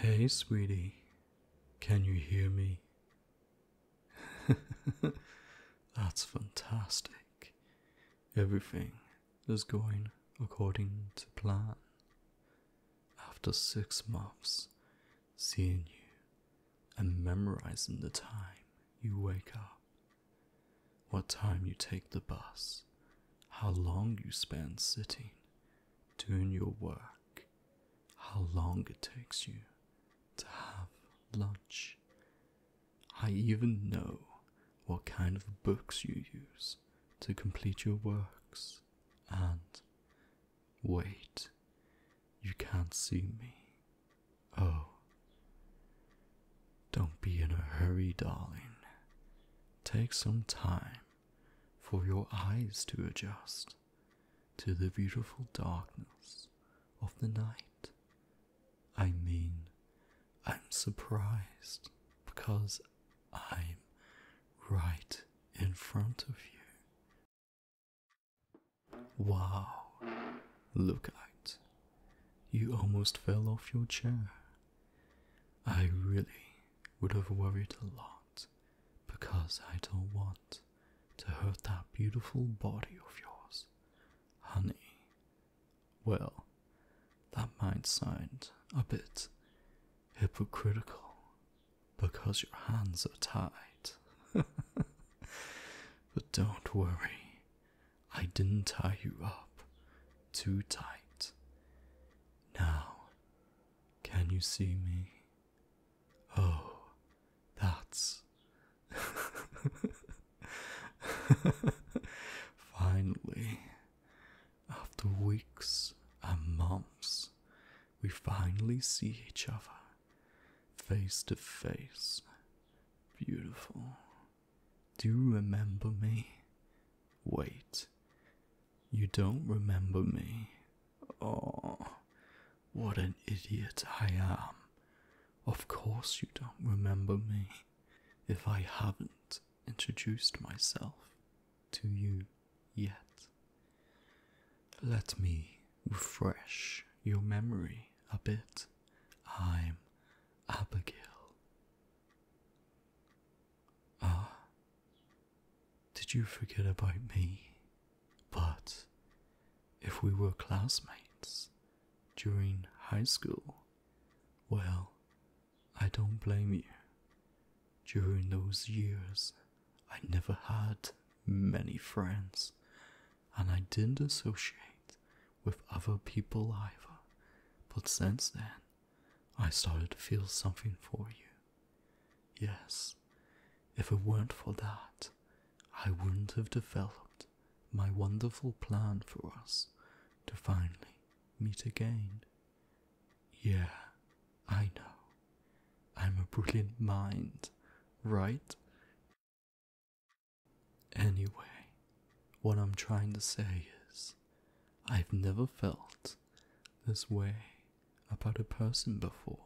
Hey, sweetie, can you hear me? That's fantastic. Everything is going according to plan. After six months seeing you and memorizing the time you wake up what time you take the bus, how long you spend sitting, doing your work, how long it takes you to have lunch. I even know what kind of books you use to complete your works. And wait, you can't see me, Oh, don't be in a hurry, darling. Take some time for your eyes to adjust to the beautiful darkness of the night. I mean, I'm surprised because I'm right in front of you. Wow, look out. You almost fell off your chair. I really would have worried a lot because I don't want to hurt that beautiful body of yours, honey. Well, that might sound a bit hypocritical because your hands are tied. but don't worry, I didn't tie you up too tight. Now, can you see me? Oh, that's. finally, after weeks and months, we finally see each other face to face. Beautiful. Do you remember me? Wait. You don't remember me. Oh, what an idiot I am. Of course, you don't remember me if I haven't introduced myself to you yet. Let me refresh your memory a bit. I'm Abigail. Ah, did you forget about me? But if we were classmates during high school, well, I don't blame you. During those years, I never had many friends, and I didn't associate with other people either, but since then, I started to feel something for you. Yes, if it weren't for that, I wouldn't have developed my wonderful plan for us to finally meet again. Yeah, I know. I'm a brilliant mind, right? Anyway, what I'm trying to say is, I've never felt this way about a person before.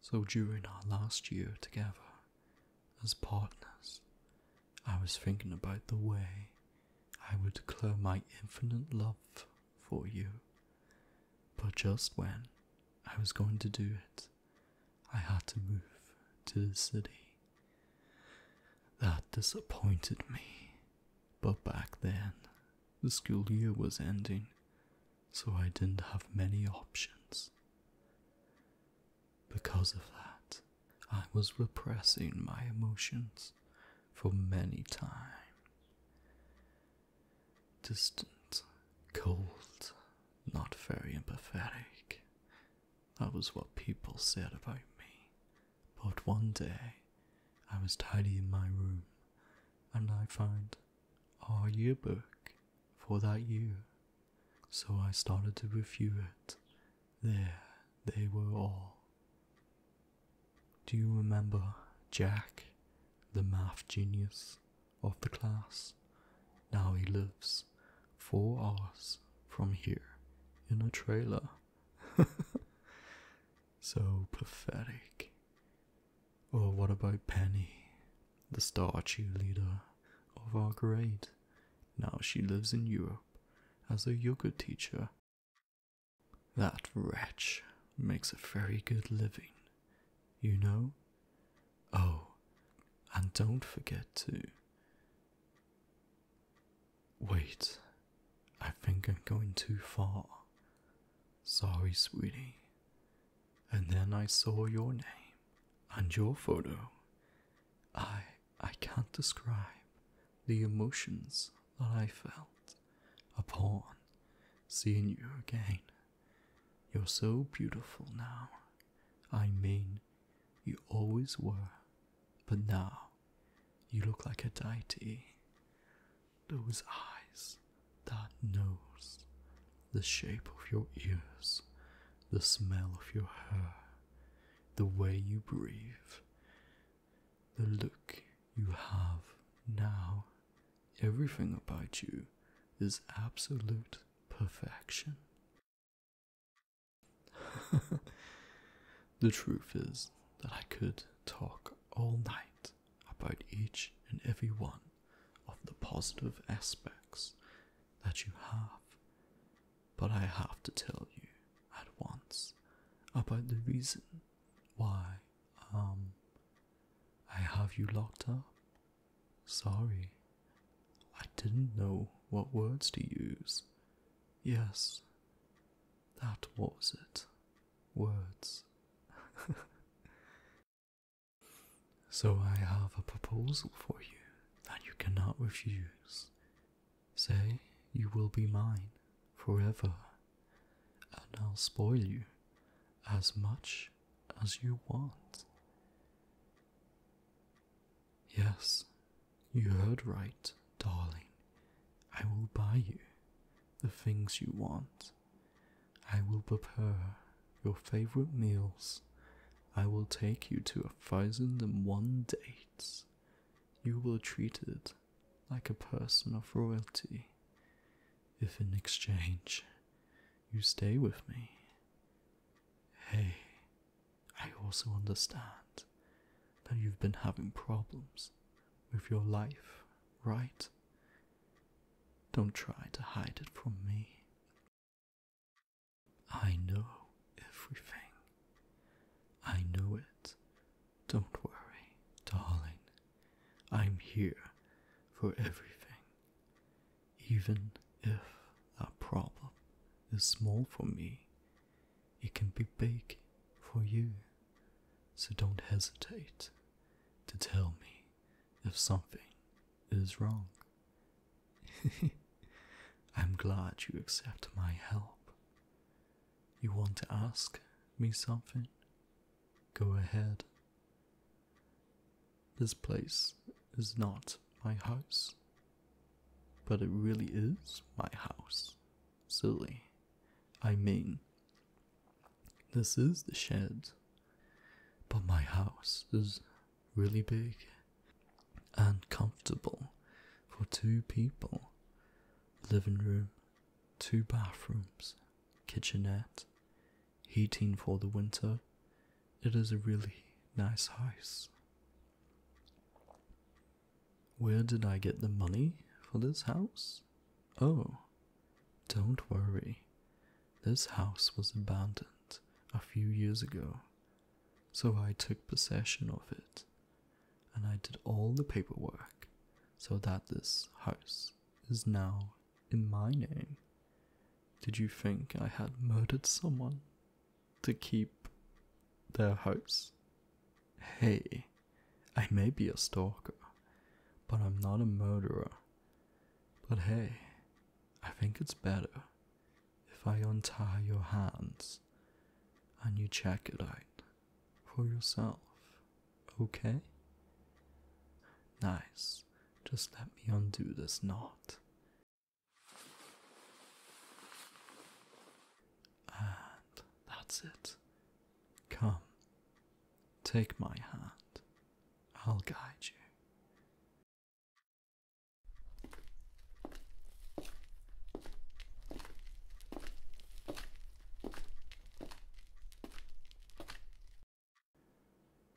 So during our last year together as partners, I was thinking about the way I would declare my infinite love for you. But just when I was going to do it, I had to move to the city. That disappointed me. But back then, the school year was ending, so I didn't have many options. Because of that, I was repressing my emotions for many times. Distant, cold, not very empathetic, that was what people said about me. But one day, I was tidying my room and I found our yearbook for that year. So I started to review it. There they were all. Do you remember Jack, the math genius of the class? Now he lives four hours from here in a trailer. so pathetic. Oh, what about Penny, the star cheerleader of our grade? Now she lives in Europe as a yoga teacher. That wretch makes a very good living, you know? Oh, and don't forget to Wait, I think I'm going too far. Sorry, sweetie. And then I saw your name and your photo. I I can't describe the emotions that I felt upon seeing you again. You're so beautiful now. I mean, you always were, but now you look like a deity. Those eyes, that nose, the shape of your ears, the smell of your hair, the way you breathe, the look you have now. Everything about you is absolute perfection the truth is that I could talk all night about each and every one of the positive aspects that you have, but I have to tell you at once about the reason why um, I have you locked up. Sorry. I didn't know what words to use. Yes, that was it. Words. so I have a proposal for you that you cannot refuse. Say you will be mine forever, and I'll spoil you as much as you want. Yes, you heard right, darling. I will buy you the things you want. I will prepare your favorite meals. I will take you to a thousand and one dates. You will be treated like a person of royalty. If in exchange you stay with me. Hey, I also understand that you've been having problems with your life, right? Don't try to hide it from me. I know everything. I know it. Don't worry, darling. I'm here for everything. Even if that problem is small for me, it can be big for you, so don't hesitate to tell me if something is wrong. I'm glad you accept my help. You want to ask me something? Go ahead. This place is not my house. But it really is my house. Silly. I mean, this is the shed. But my house is really big and comfortable for two people. Living room, two bathrooms, kitchenette, heating for the winter. It is a really nice house. Where did I get the money for this house? Oh, don't worry. This house was abandoned a few years ago, so I took possession of it and I did all the paperwork so that this house is now in my name. Did you think I had murdered someone? to keep their house. Hey, I may be a stalker, but I'm not a murderer. But hey, I think it's better if I untie your hands and you check it out for yourself. Okay? Nice. Just let me undo this knot and that's it. Come, take my hand, I'll guide you.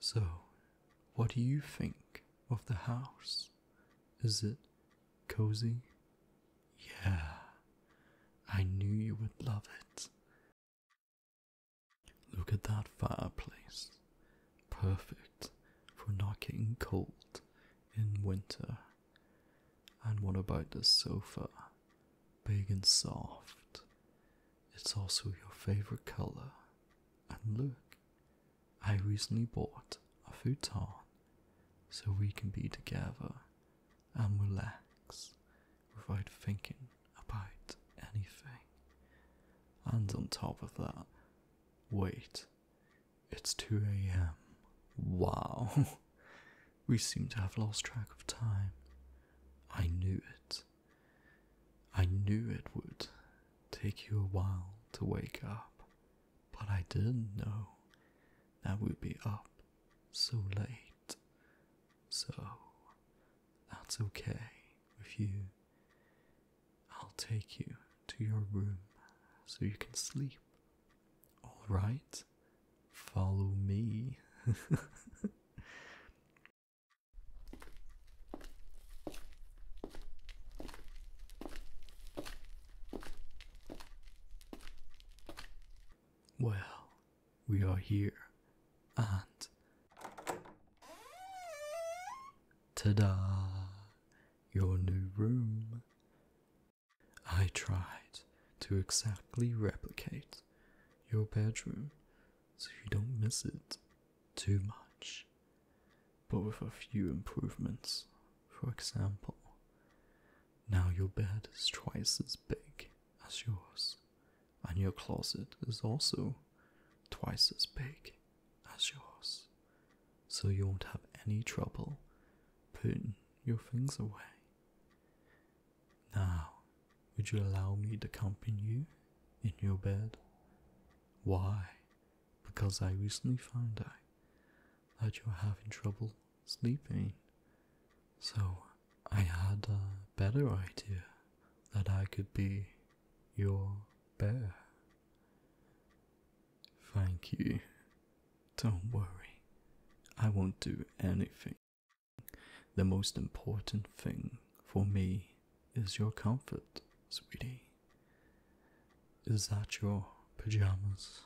So, what do you think of the house? Is it cozy? Yeah, I knew you would love it. Look at that fireplace. Perfect for not getting cold in winter. And what about the sofa? Big and soft. It's also your favorite color. And look, I recently bought a futon so we can be together and relax without thinking about anything. And on top of that, wait, it's 2 am. Wow, we seem to have lost track of time. I knew it. I knew it would take you a while to wake up. But I didn't know that we'd be up so late. So that's okay with you. I'll take you to your room so you can sleep. Alright, follow me. Well, we are here, and ta-da! Your new room. I tried to exactly replicate your bedroom so you don't miss it too much but with a few improvements. For example, now your bed is twice as big as yours, and your closet is also twice as big as yours, so you won't have any trouble putting your things away. Now, would you allow me to accompany you in your bed? Why? Because I recently found out that you're having trouble sleeping. So I had a better idea that I could be your bear. Thank you. Don't worry. I won't do anything. The most important thing for me is your comfort, sweetie. Is that your pajamas?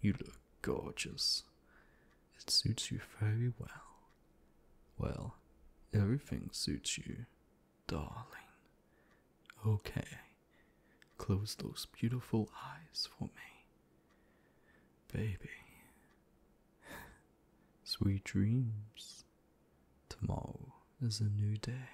You look gorgeous. It suits you very well. Well, everything suits you, darling. Okay, close those beautiful eyes for me. Baby. Sweet dreams. Tomorrow is a new day.